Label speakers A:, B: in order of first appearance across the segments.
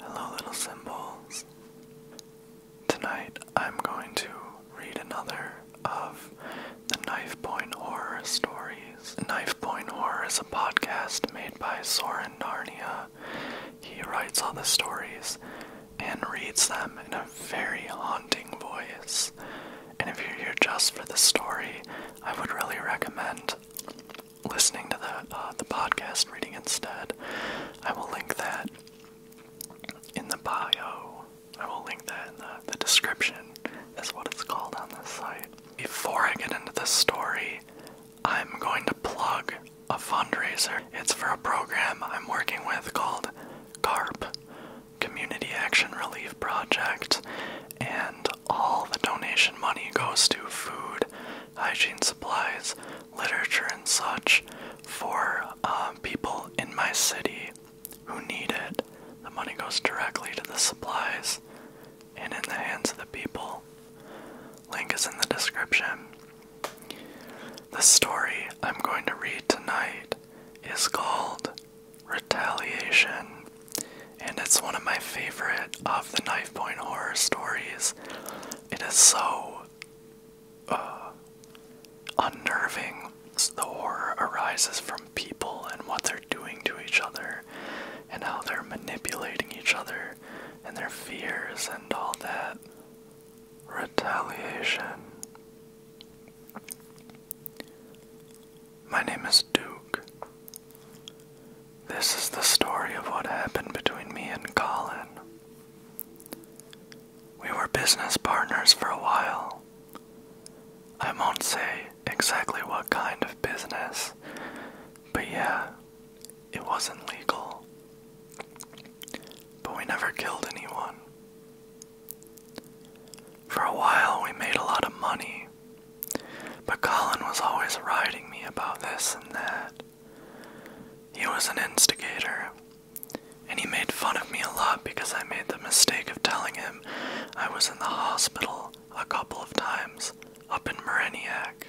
A: Hello, little symbols. Tonight I'm going to read another of the Knife Point Horror stories. Knife Point Horror is a podcast made by Soren Narnia. He writes all the stories and reads them in a very haunting voice. And if you're here just for the story, I would really recommend listening to the uh, the podcast reading instead. I will link that in the bio. I will link that in the, the description is what it's called on this site. Before I get into this story, I'm going to plug a fundraiser. It's for a program I'm working with called CARP, Community Action Relief Project, and all the donation money goes to food hygiene supplies, literature, and such for um, people in my city who need it. The money goes directly to the supplies and in the hands of the people. Link is in the description. The story I'm going to read tonight is called Retaliation, and it's one of my favorite of the Knife Point horror stories. It is so uh, unnerving. The horror arises from people and what they're doing to each other, and how they're manipulating each other, and their fears, and all that. Retaliation. My name is Duke. This is the story of what happened between me and Colin. We were business partners for a while. I won't say exactly what kind of business, but yeah, it wasn't legal. But we never killed anyone. For a while, we made a lot of money, but Colin was always writing me about this and that. He was an instigator, and he made fun of me a lot because I made the mistake of telling him I was in the hospital a couple of times up in Mariniac.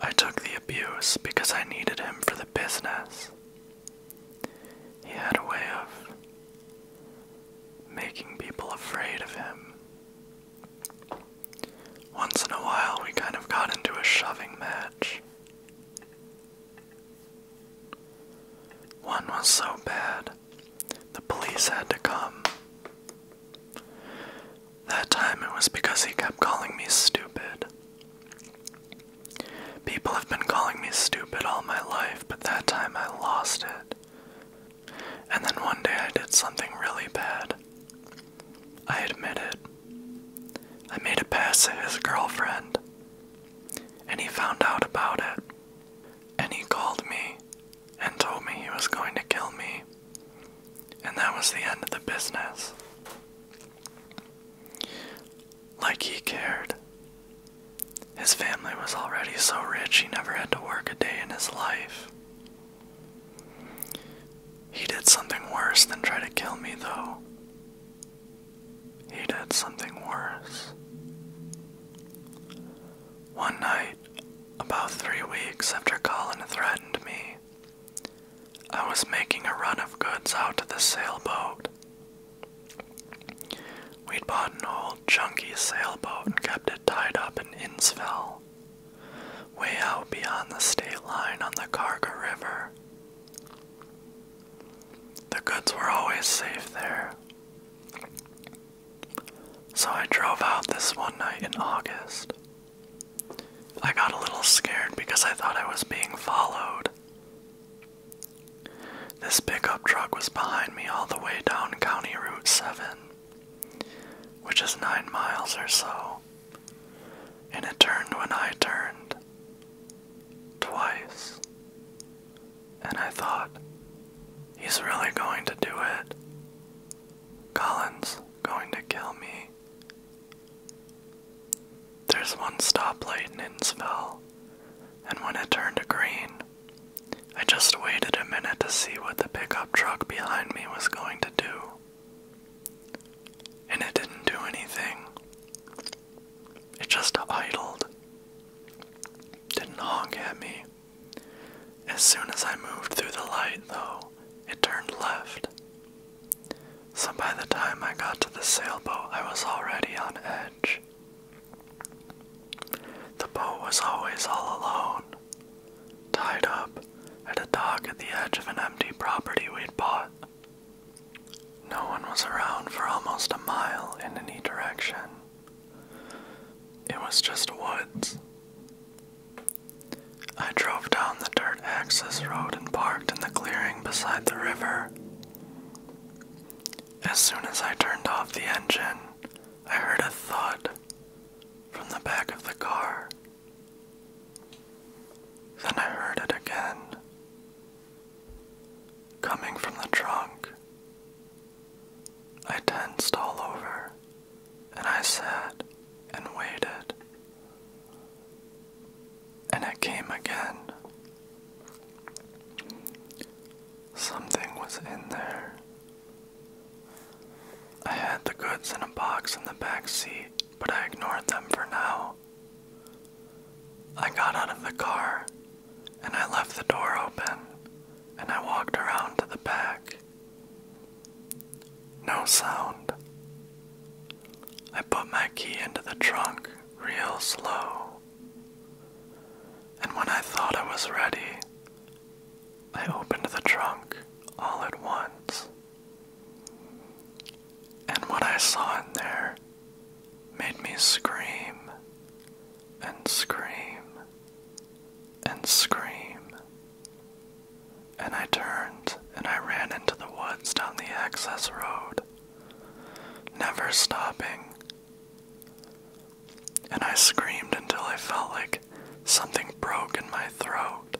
A: I took the abuse because I needed him for the business. He had a way of making people afraid of him. Once in a while, we kind of got into a shoving match. One was so bad, the police had to come. That time it was because he kept calling me stupid. People have been calling me stupid all my life, but that time I lost it. And then one day I did something really bad. I admit I made a pass at his girlfriend. And he found out about it. And he called me and told me he was going to kill me. And that was the end of the business. Like he cared. His family was already so rich he never had to work a day in his life. He did something worse than try to kill me, though. He did something worse. One night, about three weeks after Colin threatened me, I was making a run of goods out to the sailboat. We'd bought an old, junky sailboat and kept it tied up in Innsville way out beyond the state line on the Karga River. The goods were always safe there. So I drove out this one night in August. I got a little scared because I thought I was being followed. This pickup truck was behind me all the way down County Route 7 which is nine miles or so, and it turned when I turned. Twice. And I thought, he's really going to do it. Collins going to kill me. There's one stoplight in Innsville, and when it turned green, I just waited a minute to see what the pickup truck behind me was going to do. And it didn't do anything. It just idled. Didn't honk at me. As soon as I moved through the light, though, it turned left. So by the time I got to the sailboat, I was already on edge. The boat was always all alone tied up at a dock at the edge of an empty property we'd bought. No one was around for almost a mile in any direction. It was just woods. I drove down the dirt access road and parked in the clearing beside the river. As soon as I turned off the engine, I heard a thud from the back of the car. Then I heard it again, coming from the trunk. I tensed all over, and I sat and waited. And it came again. Something was in there. I had the goods in a box in the back seat, but I ignored them for now. I got out of the car, and I left the door open, and I walked around to the back. No sound. I put my key into the trunk real slow. And when I thought I was ready, I opened the trunk all at once, and what I saw in there made me scream and scream and scream. And I turned and I ran into the woods down the access road, never stopping. And I screamed until I felt like something broke in my throat.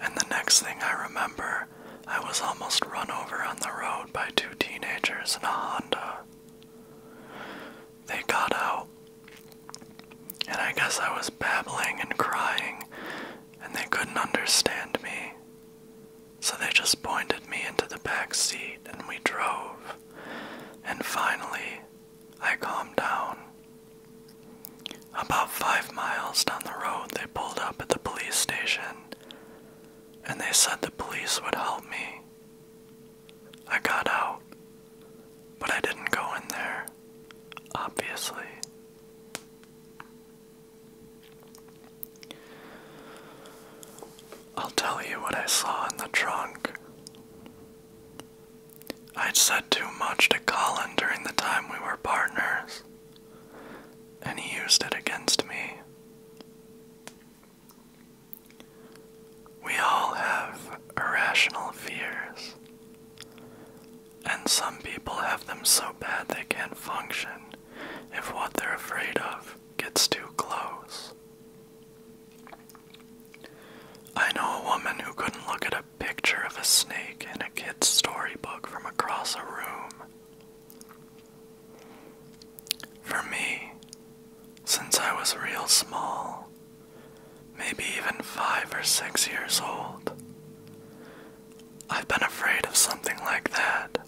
A: And the next thing I remember, I was almost run over on the road by two teenagers in a Honda. They got out, and I guess I was babbling and crying, and they couldn't understand me. So they just pointed me into the back seat, and we drove. And finally, I calmed down. About five miles down the road, they pulled up at the police station and they said the police would help me. I got out, but I didn't go in there, obviously. I'll tell you what I saw in the trunk. I'd said too much to Colin during the time we were partners, and he used it against me. We all have irrational fears, and some people have them so bad they can't function if what they're afraid of gets too close. I know a woman who couldn't look at a picture of a snake in a kid's storybook from across a room. For me, since I was real small, maybe even five or six years old, I've been afraid of something like that.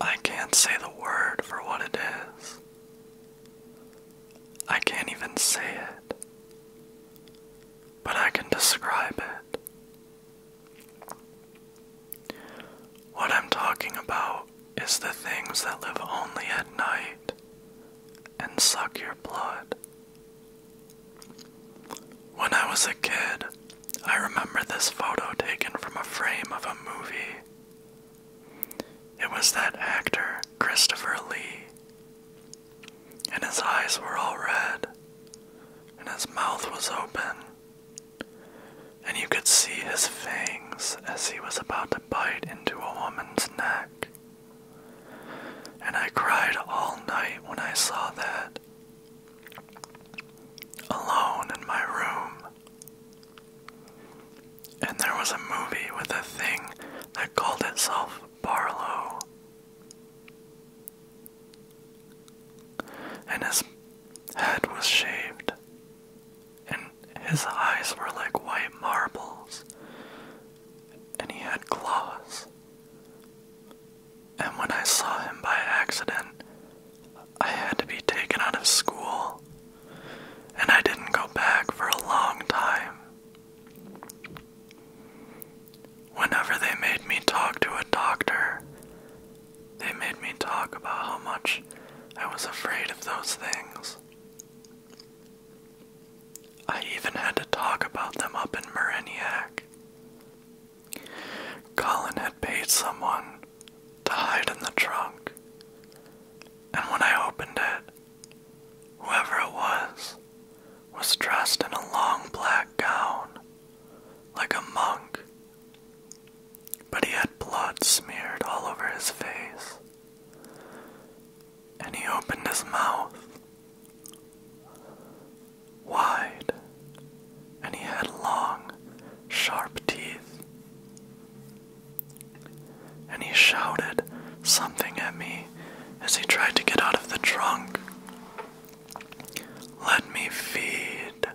A: I can't say the word for what it is. I can't even say it, but I can describe it. What I'm talking about is the things that live only at night and suck your blood. When I was a kid, I remember this photo taken from a frame of a movie. It was that actor, Christopher Lee, and his eyes were all red, and his mouth was open, and you could see his fangs as he was about to bite into a woman's neck. And I cried all night when I saw that. Alone in my room. And there was a movie with a thing that called itself Barlow. And his head was shaved, and his eyes were like white marbles, and he had claws. And when I saw him by accident, I had to be taken out of school and I didn't go back for a long time. Whenever they made me talk to a doctor, they made me talk about how much I was afraid of those things. I even had to talk about them up in Mariniac. Colin had paid someone to hide in the trunk, and when I opened it, Whoever it was was dressed in a long black gown, like a monk, but he had blood smeared all over his face, and he opened his mouth wide, and he had long, sharp teeth and he shouted something at me as he tried to get out of the trunk. Let me feed.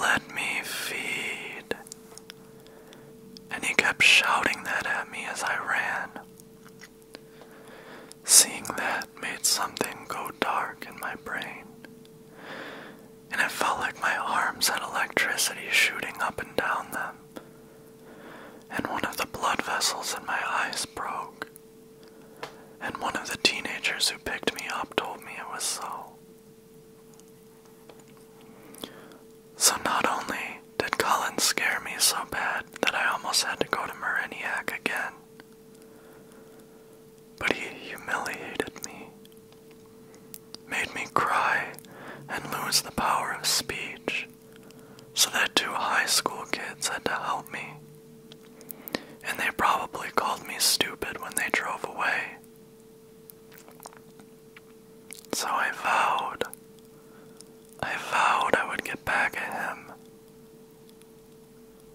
A: Let me feed. And he kept shouting that at me as I ran. Seeing that made something go dark in my brain, and it felt like my arms had electricity shooting up and down them and one of the blood vessels in my eyes broke. And one of the teenagers who picked me up told me it was so. So not only did Colin scare me so bad that I almost had to go to Mariniac again, but he humiliated me made me cry and lose the power of speech, so that two high school kids had to help me. And they probably called me stupid when they drove away. So I vowed, I vowed I would get back at him.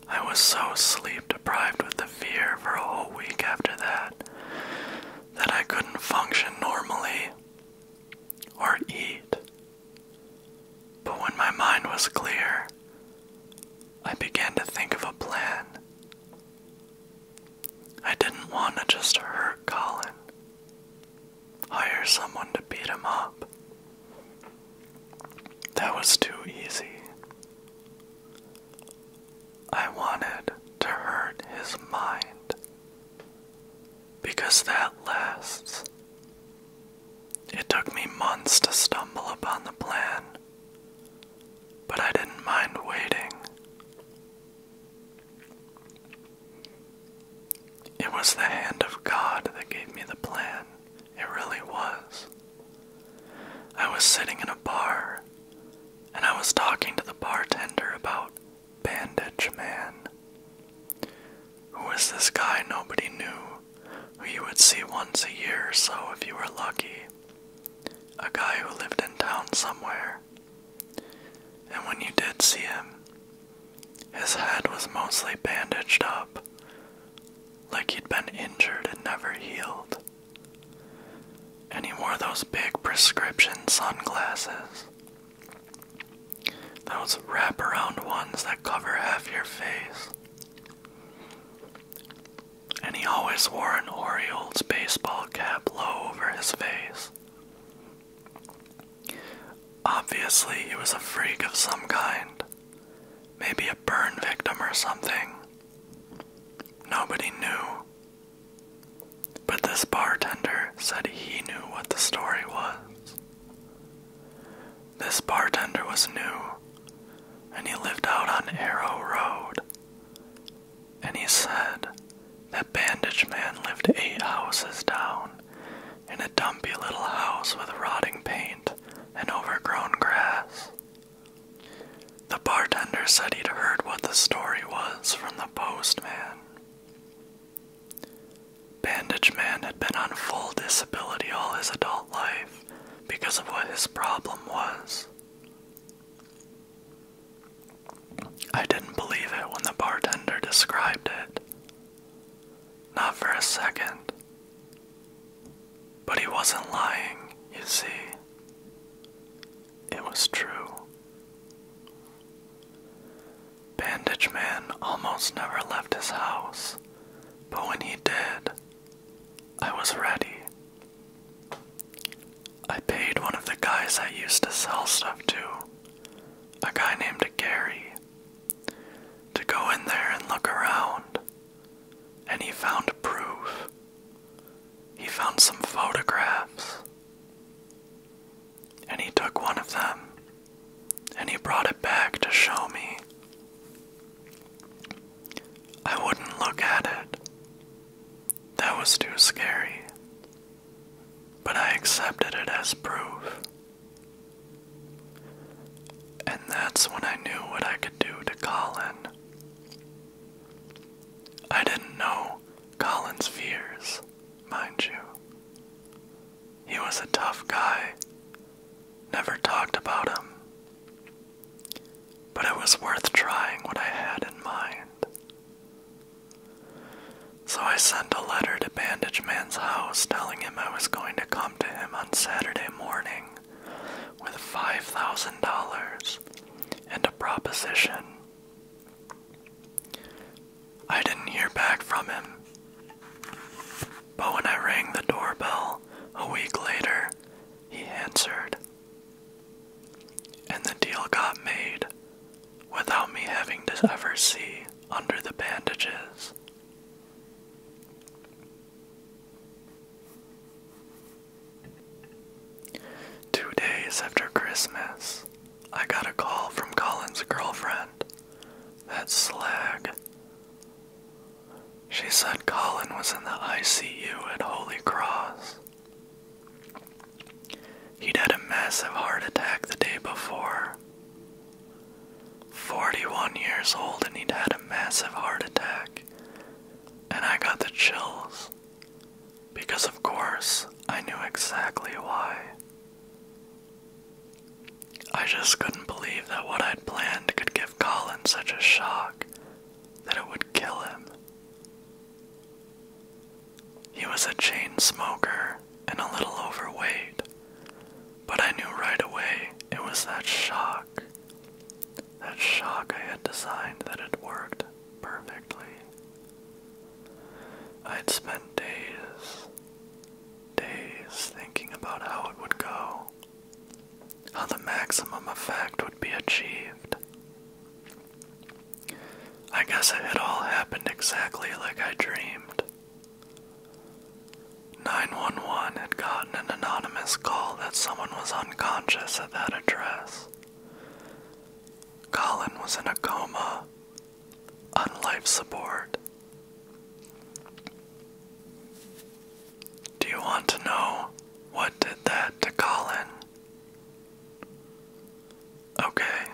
A: I was so sleep deprived with the fear for a whole week after that that I couldn't function normally or eat. But when my mind was clear, I began to think of a plan. I didn't want to just hurt Colin, hire someone to beat him up. That was too easy. I wanted to hurt his mind because that lasts. It took me months to stumble upon the plan, but I didn't mind waiting. It was the hand of God that gave me the plan. It really was. I was sitting in a bar, and I was talking to the bartender about Bandage Man. Who was this guy nobody knew, who you would see once a year or so if you were lucky? A guy who lived in town somewhere. And when you did see him, his head was mostly bandaged up, like he'd been injured and never healed. And he wore those big prescription sunglasses. Those wraparound ones that cover half your face. And he always wore an Orioles baseball cap low over his face. Obviously, he was a freak of some kind. Maybe a burn victim or something. Nobody knew. But this bartender said he knew what the story was. This bartender was new, and he lived out on Arrow Road. And he said that Bandage Man lived eight houses down in a dumpy little house with rotting paint and overgrown grass. The bartender said he'd heard what the story was from the postman. Bandage Man had been on full disability all his adult life because of what his problem was. I didn't believe it when the bartender described it. Not for a second. But he wasn't lying, you see. It was true. Bandage Man almost never left his house, but when he did, I was ready. I paid one of the guys I used to sell stuff to, a guy named Gary, to go in there and look around, and he found proof. He found some photographs and he took one of them, and he brought it back to show me. I wouldn't look at it. That was too scary. But I accepted it as proof. And that's when I knew what I could do to Colin. I didn't know Colin's fears, mind you. He was a tough guy, never talked about him. But it was worth trying what I had in mind. So I sent a letter to Bandage Man's house telling him I was going to come to him on Saturday morning with $5,000 and a proposition I didn't hear back from him. But when I rang the doorbell a week later, he answered. And the deal got made without me having to ever see under the bandages. Two days after Christmas, I got a call from Colin's girlfriend. That slag. She said Colin was in the ICU at Holy Cross. He'd had a massive heart attack the day before. 41 years old, and he'd had a massive heart attack. And I got the chills. Because, of course, I knew exactly why. I just couldn't believe that what I'd planned could give Colin such a shock that it would kill him. He was a chain smoker and a little overweight, but I knew right away it was that shock. That shock I had designed that had worked perfectly. I'd spent days, days thinking about how it would go, how the maximum effect would be achieved. I guess it had all happened exactly like I dreamed. 911 had gotten an anonymous call that someone was unconscious at that address. Colin was in a coma on life support. Do you want to know what did that to Colin? Okay.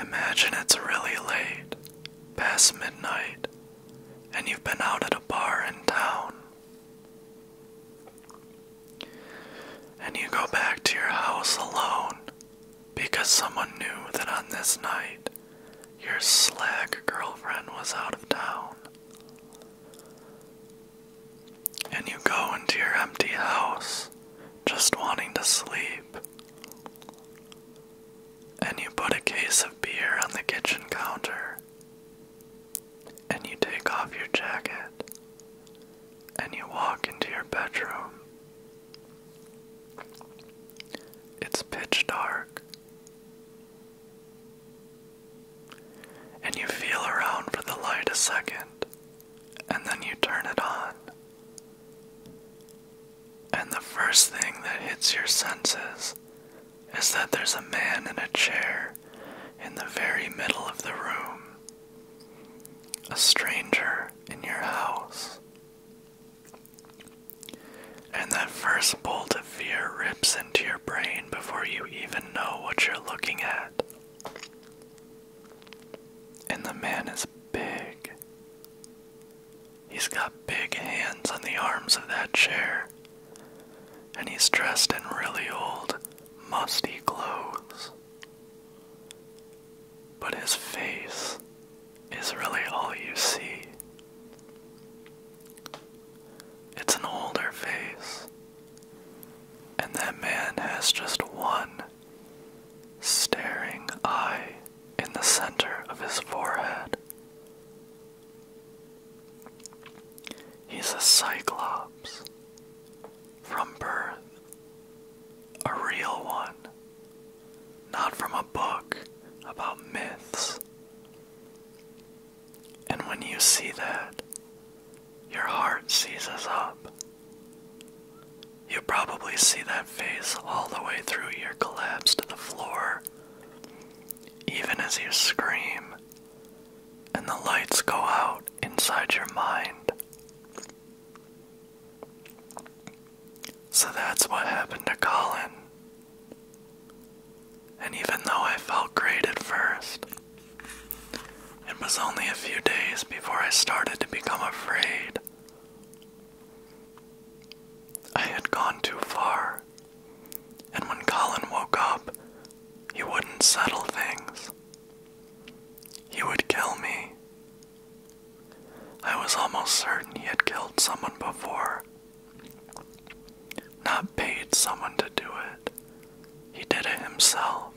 A: Imagine it's really late, past midnight, and you've been out at a bar in town. And you go back to your house alone because someone knew that on this night your slag girlfriend was out of town. And you go into your empty house just wanting to sleep. And you put a case of beer on the kitchen counter and you take off your jacket and you walk into your bedroom. It's pitch dark. And you feel around for the light a second, and then you turn it on. And the first thing that hits your senses is that there's a man in a chair in the very middle of the room. A stranger in your house. And that first bolt of fear rips into your brain before you even know what you're looking at. And the man is big. He's got big hands on the arms of that chair. And he's dressed in really old, musty clothes. But his face is really all you see. It's an older face, and that man has just one staring eye in the center of his forehead. He's a cyclops, from birth, a real one, not from a book about myths. And when you see that, your heart seizes up. You probably see that face all the way through your collapse to the floor, even as you scream and the lights go out inside your mind. So that's what happened to Colin. And even though I felt great at first, it was only a few days before I started to become afraid. I had gone too far, and when Colin woke up, he wouldn't settle things. He would kill me. I was almost certain he had killed someone before. Not paid someone to do it. He did it himself.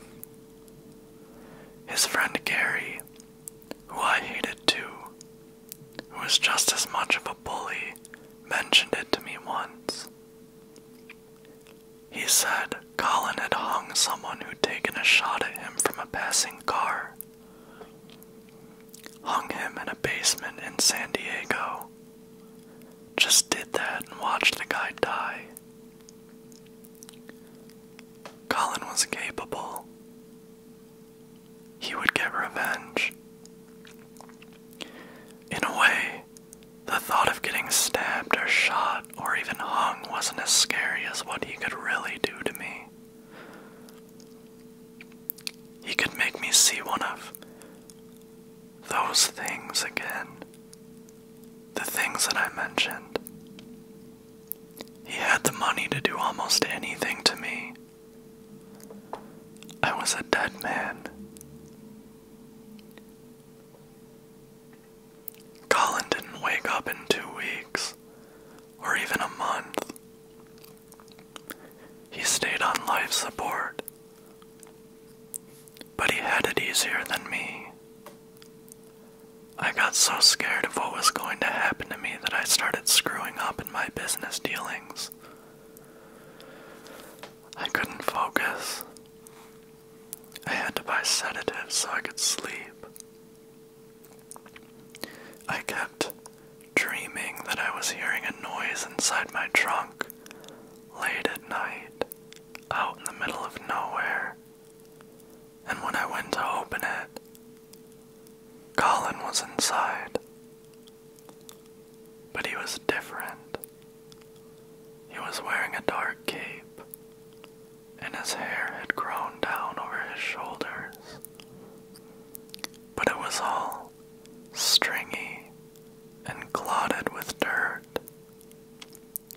A: His friend Gary, who I hated too, who was just as much of a bully, mentioned it to me once. He said Colin had hung someone who'd taken a shot at him from a passing car. Hung him in a basement in San Diego. Just did that and watched the guy die. Colin was capable. He would get revenge. In a way, the thought of getting stabbed or shot or even hung wasn't as scary as what he could really do to me. He could make me see one of those things again. The things that I mentioned. He had the money to do almost anything to me. I was a dead man. Colin didn't wake up in two weeks, or even a month. He stayed on life support, but he had it easier than me. I got so scared of what was going to happen to me that I started screwing up in my business dealings. I couldn't focus. I had to buy sedatives so I could sleep. I kept dreaming that I was hearing a noise inside my trunk late at night, out in the middle of nowhere. And when I went to open it, Colin was inside. But he was different. He was wearing a dark cape, and his hair had grown down over his shoulders. But it was all stringy and clotted with dirt,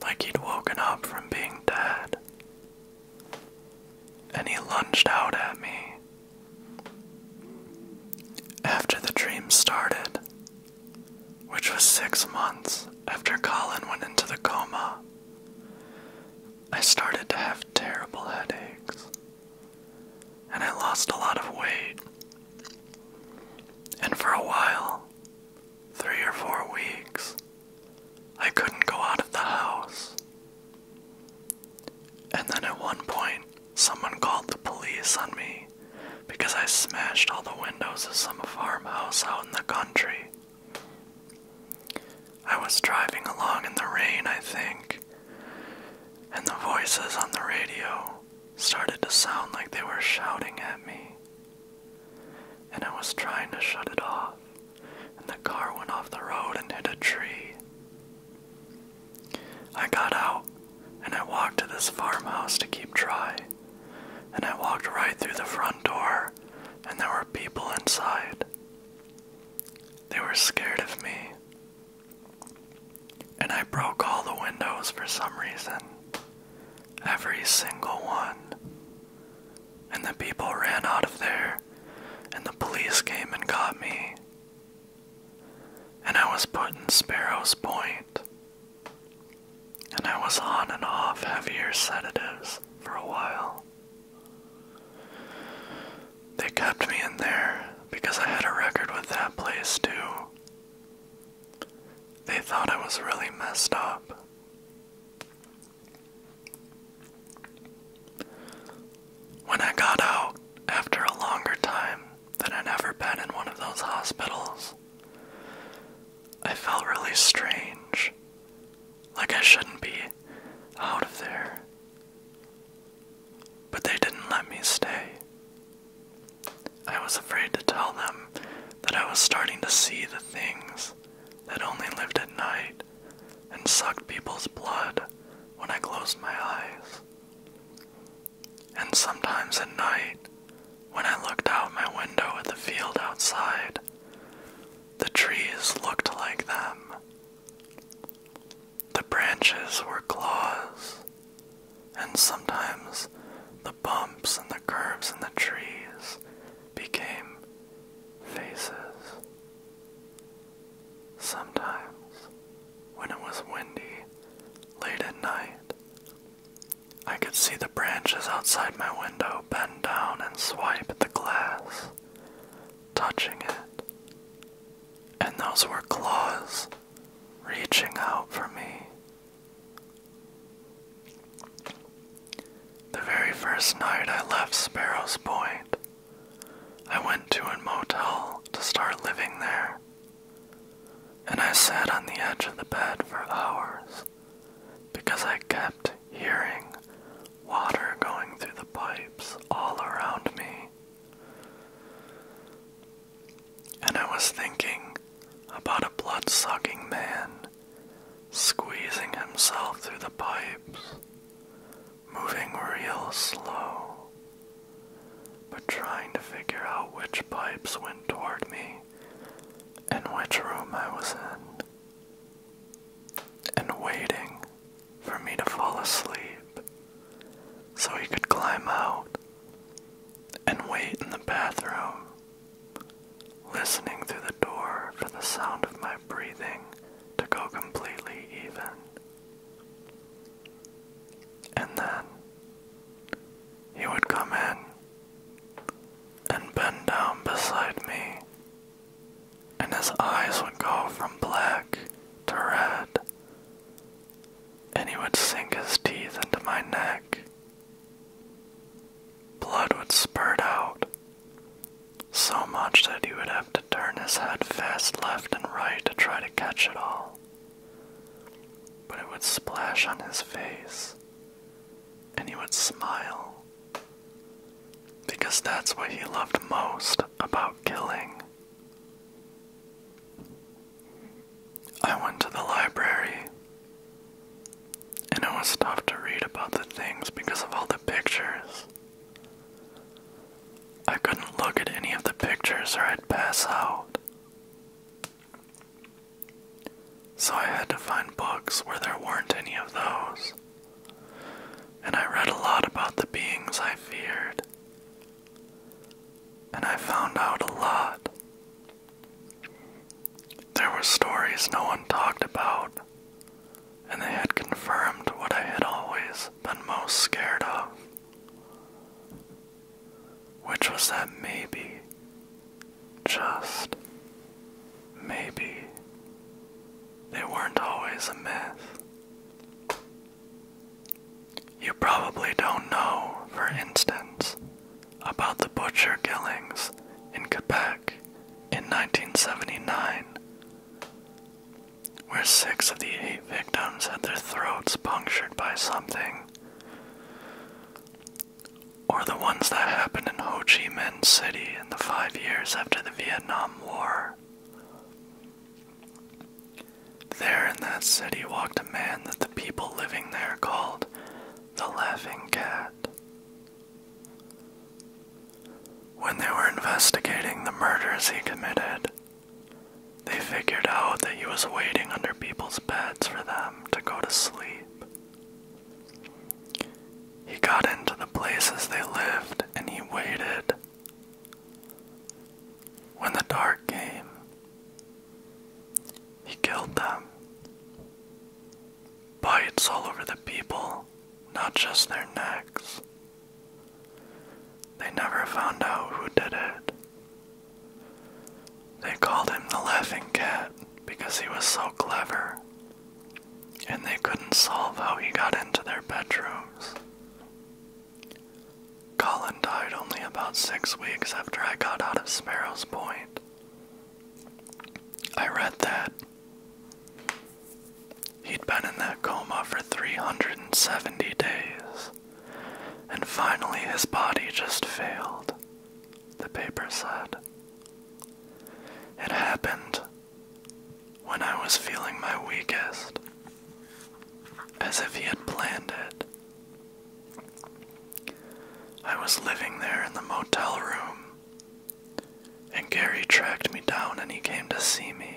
A: like he'd woken up from being dead. And he lunged out at me. After the dream started, which was six months after Colin went into the coma. I started to have terrible headaches, and I lost a lot of weight. And for a while, three or four weeks, I couldn't go out of the house. And then at one point, someone called the police on me because I smashed all the windows of some farmhouse out in the country. I was driving along in the rain, I think, and the voices on the radio started to sound like they were shouting at me. And I was trying to shut it off, and the car went off the road and hit a tree. I got out and I walked to this farmhouse to keep dry and I walked right through the front door, and there were people inside. They were scared of me, and I broke all the windows for some reason. Every single one. And the people ran out of there, and the police came and got me. And I was put in Sparrow's Point and I was on and off heavier sedatives for a while. They kept me in there because I had a record with that place too. They thought I was really messed up. When I got out, after a longer time than I'd ever been in one of those hospitals, I felt really strange. Like I shouldn't be out of there. But they didn't let me stay. I was afraid to tell them that I was starting to see the things that only lived at night and sucked people's blood when I closed my eyes. And sometimes at night, when I looked out my window at the field outside, the trees looked like them. The branches were claws, and sometimes the bumps and the curves in the trees became faces. Sometimes, when it was windy, late at night, I could see the branches outside my window bend down and swipe at the glass, touching it. And those were claws reaching out for me. The very first night I left Sparrows Point, I went to a motel to start living there and I sat on the edge of the bed for hours because I kept hearing water going through the pipes all around me. And I was thinking about a blood sucking man squeezing himself through the pipes, moving real slow, but trying to figure out which pipes went toward me in which room I was in, and waiting for me to fall asleep so he could climb out and wait in the bathroom, listening through the door for the sound of my breathing to go completely even. And then he would come in and bend down beside me, and his eyes would go from black to red, and he would sink his teeth into my neck. Blood would spurt out, so much that he would have to turn his head fast left and right to try to catch it all. But it would splash on his face and he would smile because that's what he loved most about killing. I went to the library, and it was tough to read about the things because of all the pictures. I couldn't look at any of the pictures or I'd pass out. So I had to find books where there weren't any of those. And I read a lot about the beings I feared. And I found out a lot. There were stories no one talked about, and they had confirmed what I had always been most scared of which was that maybe, just maybe, they weren't always a myth. You probably don't know, for instance, about the butcher killings in Quebec in 1979, where six of the eight victims had their throats punctured by something or the ones that happened in Ho Chi Minh City in the five years after the Vietnam War. There in that city walked a man that the people living there called the Laughing Cat. When they were investigating the murders he committed, they figured out that he was waiting under people's beds for them to go to sleep. He got into the places they lived and he waited. When the dark came, he killed them. Bites all over the people, not just their necks. They never found out who did it. They called him the Laughing Cat because he was so clever, and they couldn't solve how he got into their bedrooms. Colin died only about six weeks after I got out of Sparrow's Point. I read that. He'd been in that coma for 370 days, and finally his body just failed the paper said. It happened when I was feeling my weakest, as if he had planned it. I was living there in the motel room, and Gary tracked me down and he came to see me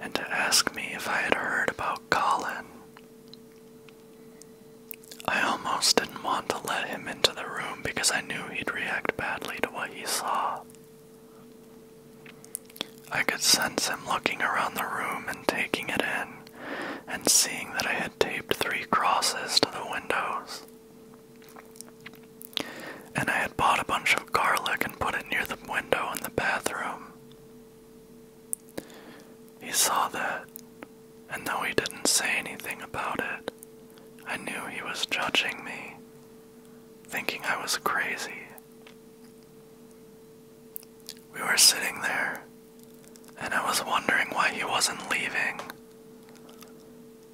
A: and to ask me if I had heard about Colin. I almost didn't want to let him into the room because I knew he'd react badly to what he saw. I could sense him looking around the room and taking it in, and seeing that I had taped three crosses to the windows. And I had bought a bunch of garlic and put it near the window in the bathroom. He saw that, and though he didn't say anything about it, I knew he was judging me, thinking I was crazy. We were sitting there, and I was wondering why he wasn't leaving.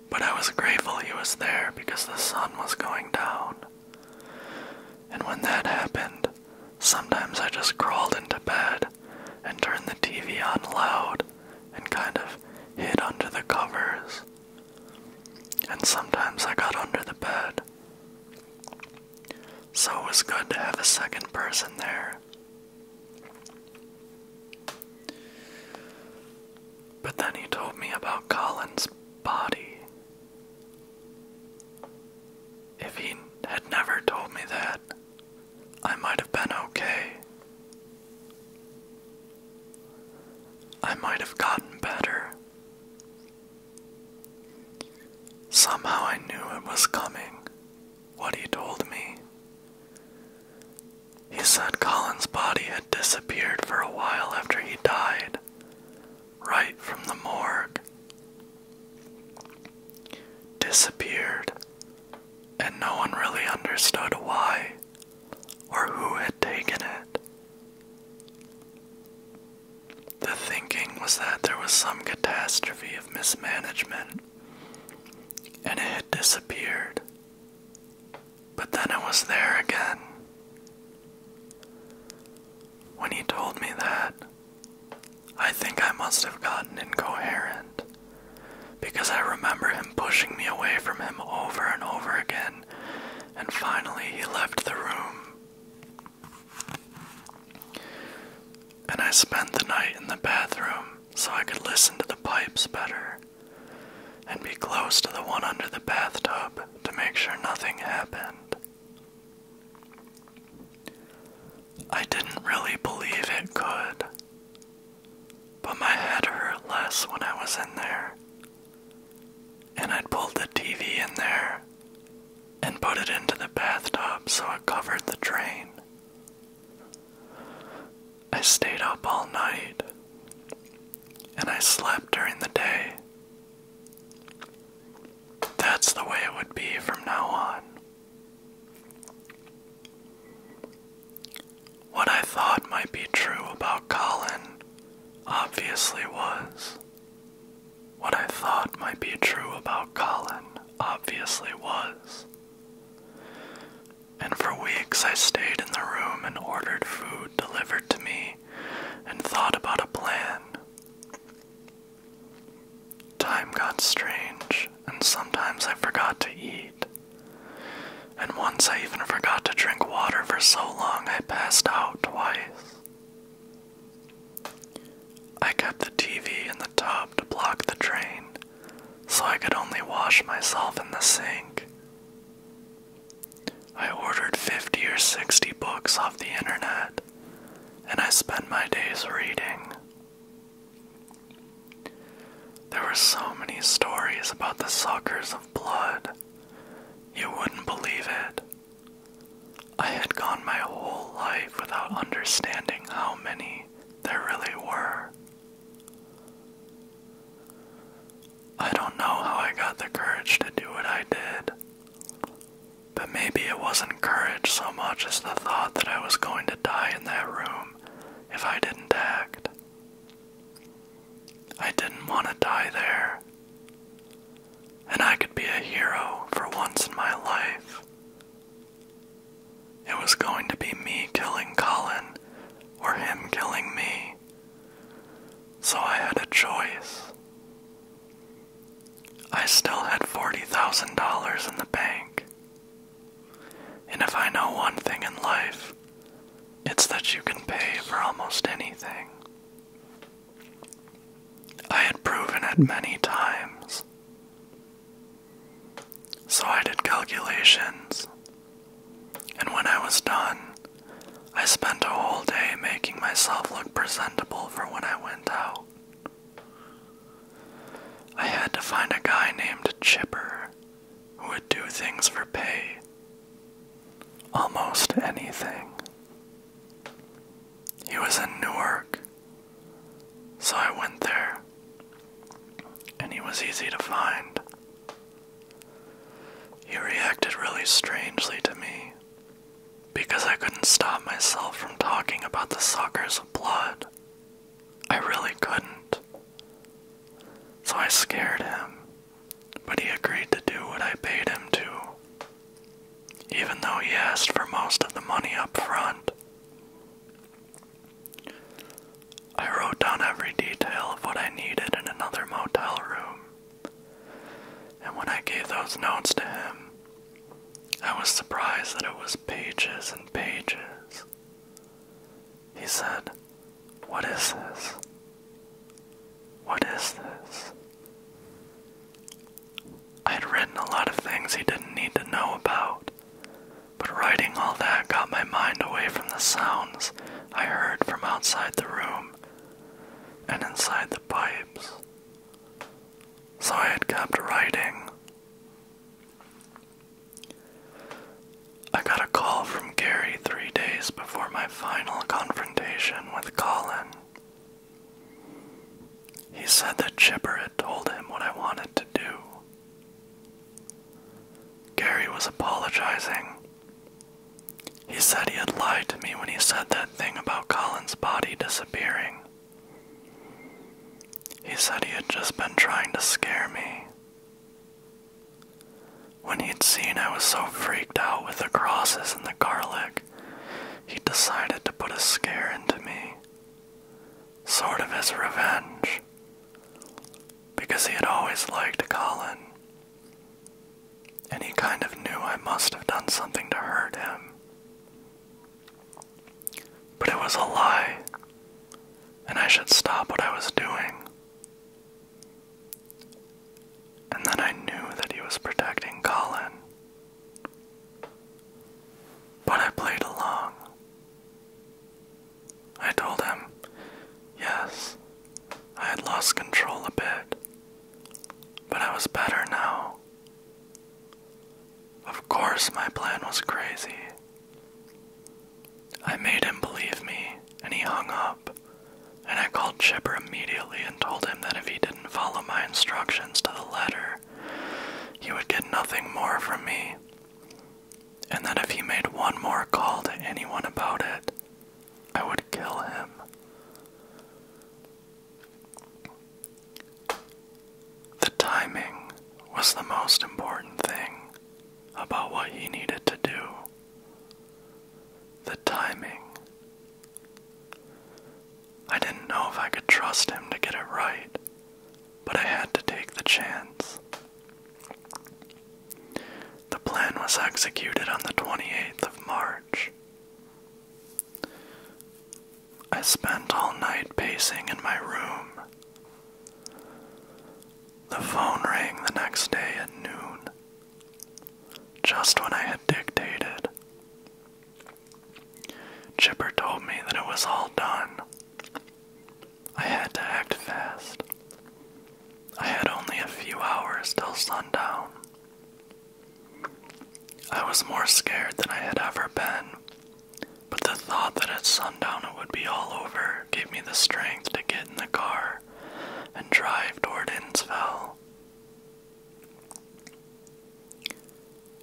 A: But I was grateful he was there because the sun was going down. And when that happened, Sometimes I just crawled into bed and turned the TV on loud and kind of hid under the covers. And sometimes I got under the bed. So it was good to have a second person there. But then he told me about Colin's body if he had never told me that, I might have been okay. I might have gotten better. Somehow I knew it was coming, what he told me. He said Colin's body had disappeared for a while after he died, right from the morgue. Disappeared, and no one really understood why or who had taken it. The thinking was that there was some catastrophe of mismanagement and it had disappeared. But then it was there again. When he told me that, I think I must have gotten incoherent because I remember him pushing me away from him over and over again, and finally he left the room. And I spent the night in the bathroom so I could listen to the pipes better and be close to the one under the bathtub to make sure nothing happened. I didn't really believe it could, but my head hurt less when I was in there. And I'd pulled the TV in there and put it into the bathtub so it covered the drain. I stayed up all night and I slept during the day. That's the way it would be from now on. What I thought might be true about Colin obviously was. What I thought might be true about Colin obviously was. And for weeks I stayed in the room and ordered food delivered to me and thought about a plan. Time got strange, and sometimes I forgot to eat. And once I even forgot to drink water for so long I passed out twice. I kept the TV in the tub to block the drain, so I could only wash myself in the sink. I ordered 50 or 60 books off the internet and I spent my days reading. There were so many stories about the suckers of blood. You wouldn't believe it. I had gone my whole life without understanding how many there really were. I don't know how I got the courage to do what I did. But maybe it wasn't courage so much as the thought that I was going to die in that room if I didn't act. I didn't want to die there. And I could be a hero for once in my life. It was going to be me killing Colin or him killing me. So I had a choice. I still had $40,000 in the bank. And if I know one thing in life, it's that you can pay for almost anything. I had proven it many times. So I did calculations, and when I was done, I spent a whole day making myself look presentable for when I went out. I had to find a guy named Chipper who would do things for pay. Almost anything. He was in Newark, so I went there, and he was easy to find. He reacted really strangely to me because I couldn't stop myself from talking about the suckers of blood. I really couldn't. So I scared him, but he agreed to do what I paid him to, even though he asked for most of the money up front. I wrote down every detail of what I needed in another motel room, and when I gave those notes to him, I was surprised that it was pages and pages. He said, What is this? What is this? I'd written a lot of things he didn't need to know about, but writing all that got my mind away from the sounds I heard from outside the room and inside the pipes. So I had kept writing. I got a call from Gary three days before my final confrontation with Colin. He said that Chipper had told him what I wanted to do. Gary was apologizing. He said he had lied to me when he said that thing about Colin's body disappearing. He said he had just been trying to scare me. When he'd seen I was so freaked out with the crosses and the garlic, he decided to put a scare into me. Sort of as revenge. Because he had always liked Colin. And he kind of knew I must have done something to hurt him. But it was a lie, and I should stop what I was doing. And then I knew that he was protecting Colin. But I played along. I told him, yes, I had lost control a bit, but I was better now. Of course, my plan was crazy. I made him believe me, and he hung up, and I called Chipper immediately and told him that if he didn't follow my instructions to the letter, he would get nothing more from me, and that if he made one more call to anyone about it, I would kill him. The timing was the most important thing about what he needed to do. The timing. I didn't know if I could trust him to get it right, but I had to take the chance. The plan was executed on the 28th of March. I spent all night pacing in my room. The phone rang the next day at noon, just when I had dictated. Chipper told me that it was all done. I had to act fast. I had only a few hours till sundown. I was more scared than I had ever been, but the thought that at sundown it would be all over gave me the strength to get in the car and drive toward Innsville.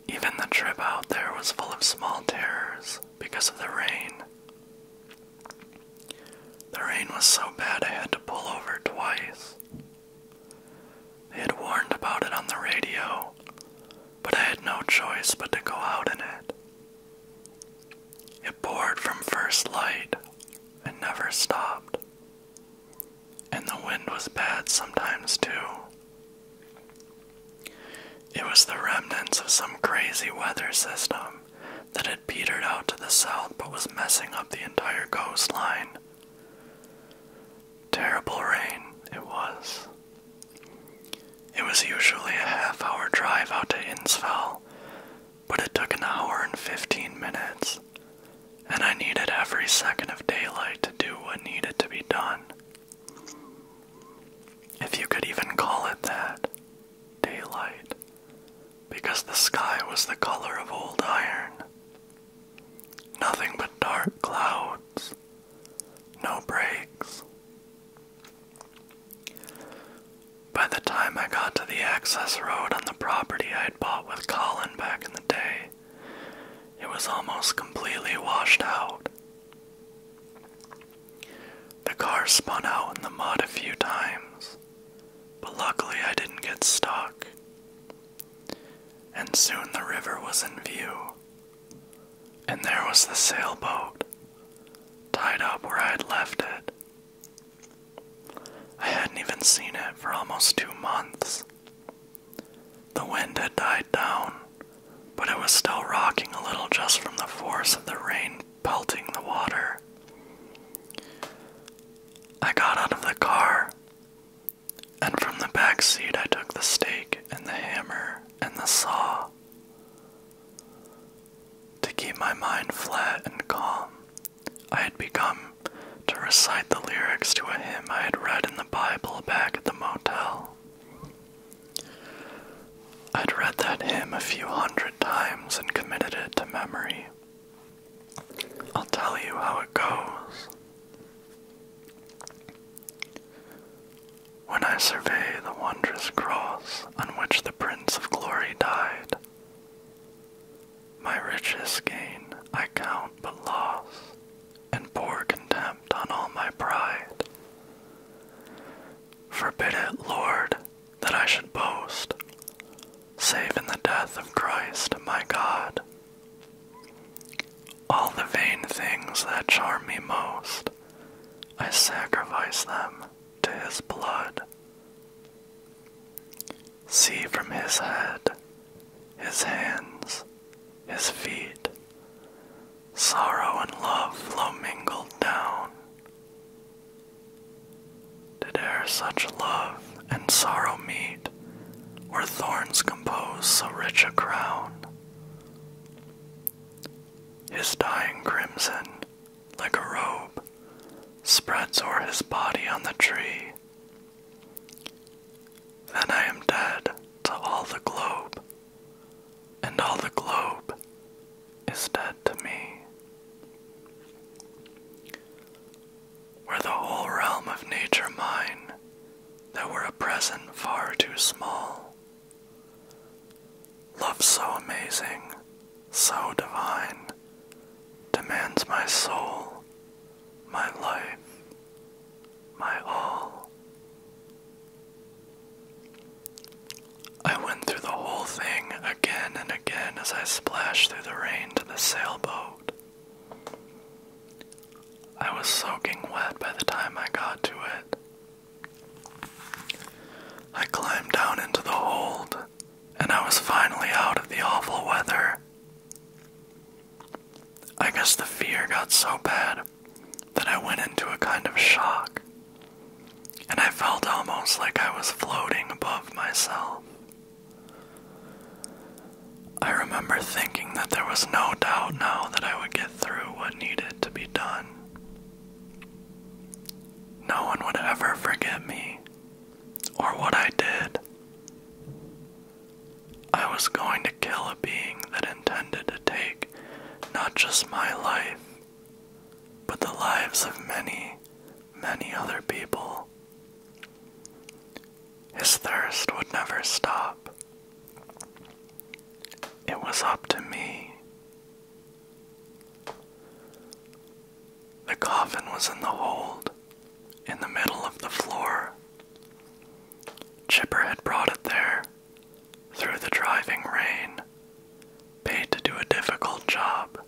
A: Even the trip out there was full of small terrors because of the rain. The rain was so bad I had to pull over twice. They had warned about it on the radio, but I had no choice but to go out in it. It poured from first light and never stopped. And the wind was bad sometimes, too. It was the remnants of some crazy weather system that had petered out to the south but was messing up the entire coastline. Terrible rain it was. It was usually a half hour drive out to Innsfell, but it took an hour and 15 minutes, and I needed every second of daylight to do what needed to be done. If you could even call it that, daylight, because the sky was the color of old iron, Nothing but dark clouds, no breaks. By the time I got to the access road on the property I had bought with Colin back in the day, it was almost completely washed out. The car spun out in the mud a few times, but luckily I didn't get stuck and soon the river was in view. And there was the sailboat, tied up where I had left it. I hadn't even seen it for almost two months. The wind had died down, but it was still rocking a little just from the force of the rain pelting the water. I got out of the car and from the back seat, I took the stake and the hammer and the saw. To keep my mind flat and calm, I had begun to recite the lyrics to a hymn I had read in the Bible back at the motel. I'd read that hymn a few hundred times and committed it to memory. I'll tell you how it goes. When I survey the wondrous cross on which the Prince of Glory died, my richest gain I count but loss, and pour contempt on all my pride. Forbid it, Lord, that I should boast, save in the death of Christ my God. All the vain things that charm me most, I sacrifice them to his blood. See from his head, his hands, his feet, sorrow and love flow mingled down. To dare such love and sorrow meet, where thorns compose so rich a crown. His dying crimson, like a robe, spreads o'er his body on the tree. Then I am dead to all the globe, and all the globe is dead to me were the whole realm of nature mine, that were a present far too small. Love so amazing, so divine, demands my soul, my life, my all. I went through the whole thing again and again as I splashed through the rain to the sailboat. I was soaking wet by the time I got to it. I climbed down into the hold, and I was finally out of the awful weather. I guess the fear got so bad that I went into a kind of shock, and I felt almost like I was floating above myself. I remember thinking that there was no doubt now that I would get through what needed to be done. No one would ever forget me or what I did. I was going to kill a being that intended to take not just my life, but the lives of many, many other people. His thirst would never stop. It was up to me. The coffin was in the hold, in the middle of the floor. Chipper had brought it there, through the driving rain, paid to do a difficult job,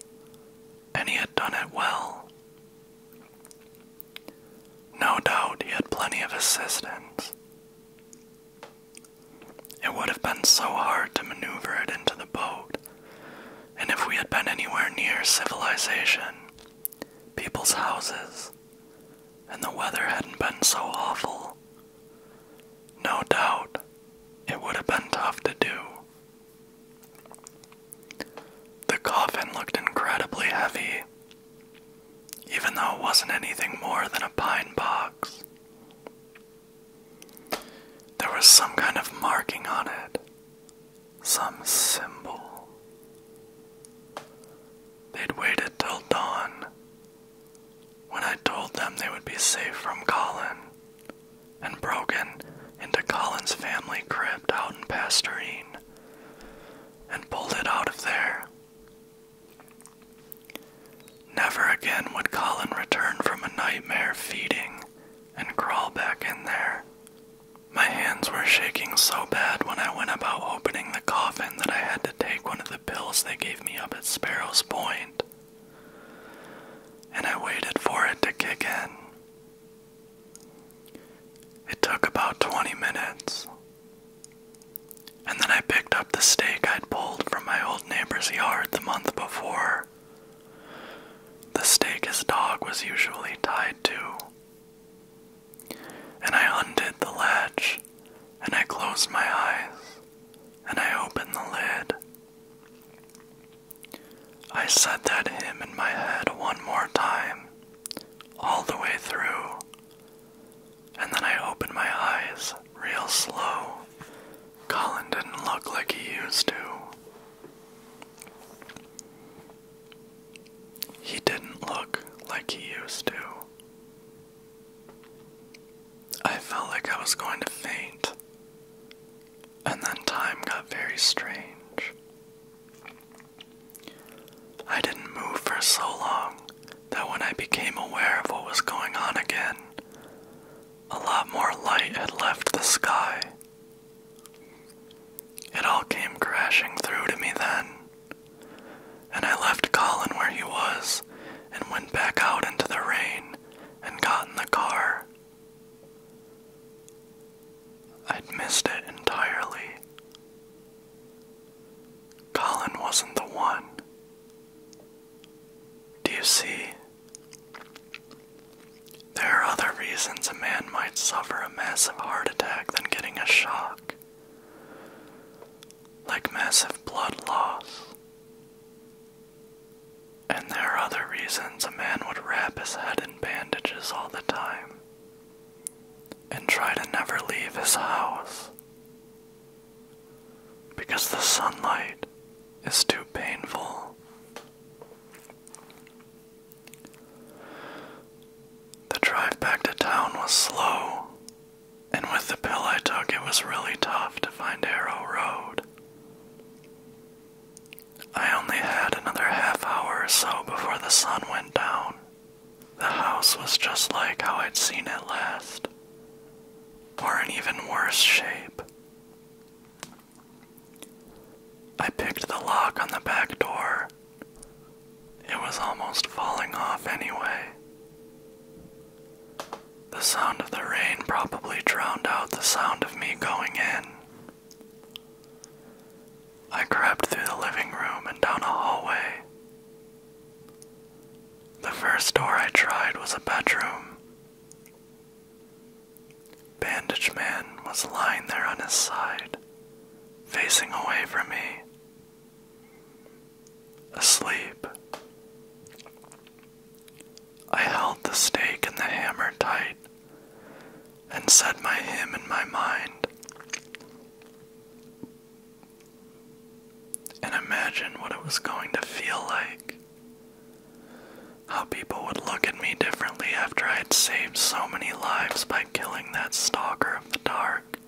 A: and he had done it well. No doubt he had plenty of assistants. It would have been so hard to maneuver it into the boat, and if we had been anywhere near civilization, people's houses, and the weather hadn't been so awful, no doubt it would have been tough to do. The coffin looked incredibly heavy, even though it wasn't anything more than a pine box. There was some kind of marking on it, some symbol. They'd waited till dawn when I told them they would be safe from Colin and broken into Colin's family crypt out in Pastorine and pulled it out of there. Never again would Colin return from a nightmare feeding and crawl back in there. My hands were shaking so bad when I went about opening the coffin that I had to take one of the pills they gave me up at Sparrow's And I waited for it to kick in. It took about 20 minutes. And then I picked up the stake I'd pulled from my old neighbor's yard the month before. The stake his dog was usually tied to. And I undid the latch, and I closed my eyes, and I opened the lid. I said that hymn in my head one more time all the way through. And then I opened my eyes real slow. Colin didn't look like he used to. He didn't look like he used to. I felt like I was going to faint. And then time got very strange. I didn't move for so long that when I became aware of what was going on again, a lot more light had left the sky. It all came crashing through to me then, and I left Colin where he was and went back out into the rain and got in the car. I'd missed it entirely. Colin wasn't the one. Do you see? There are other reasons a man might suffer a massive heart attack than getting a shock, like massive blood loss. And there are other reasons a man would wrap his head in bandages all the time, and try to never leave his house because the sunlight is too painful. The drive back to town was slow, and with the pill I took, it was really tough to find Arrow Road. I only had another half hour or so before the sun went down. The house was just like how I'd seen it last, or in even worse shape. I picked the lock on the back door. It was almost falling off anyway. The sound of the rain probably drowned out the sound of me going in. I crept through the living room and down a hallway. The first door I tried was a bedroom. Bandage Man was lying there on his side, facing away from me, asleep. I held the stake and the hammer tight and set my hymn in my mind, and imagine what it was going to feel like. How people would look at me differently after I had saved so many lives by killing that stalker of the dark,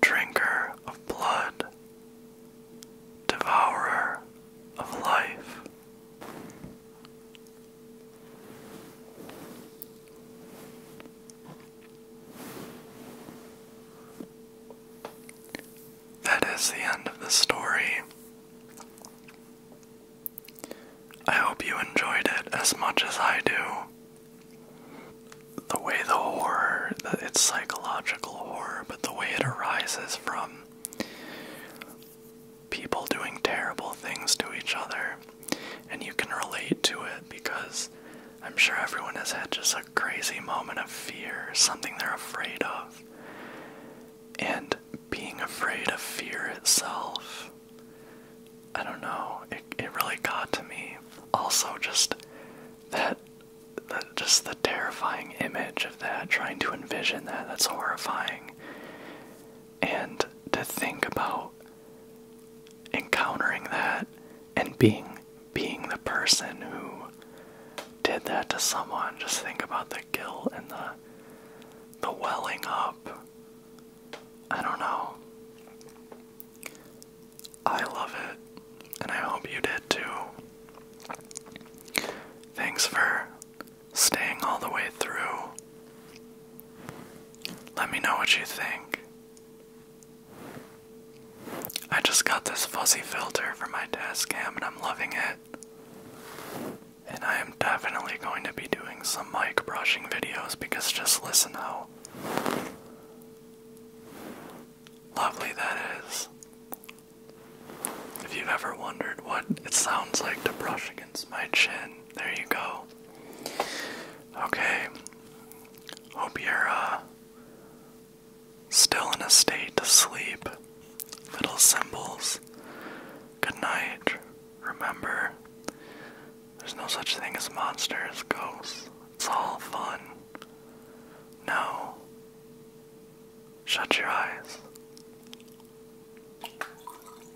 A: drinker of blood, devourer of life. That is the end of the story. I hope you enjoyed it as much as I do. The way the horror, it's psychological horror, but the way it arises from people doing terrible things to each other, and you can relate to it because I'm sure everyone has had just a crazy moment of fear, something they're afraid of. And being afraid of fear itself, I don't know, it, it really got to me. Also, just that, that, just the terrifying image of that, trying to envision that, that's horrifying. And to think about encountering that and being being the person who did that to someone just think about the guilt and the the welling up i don't know i love it and i hope you did too thanks for staying all the way through. Let me know what you think. I just got this fuzzy filter for my desk cam, and I'm loving it. And I am definitely going to be doing some mic brushing videos because just listen how lovely that is. If you've ever wondered what it sounds like to brush against my chin, there you go. Okay. Hope you're uh, still in a state to sleep. Little symbols. Good night. Remember, there's no such thing as monsters, ghosts. It's all fun. Now, shut your eyes.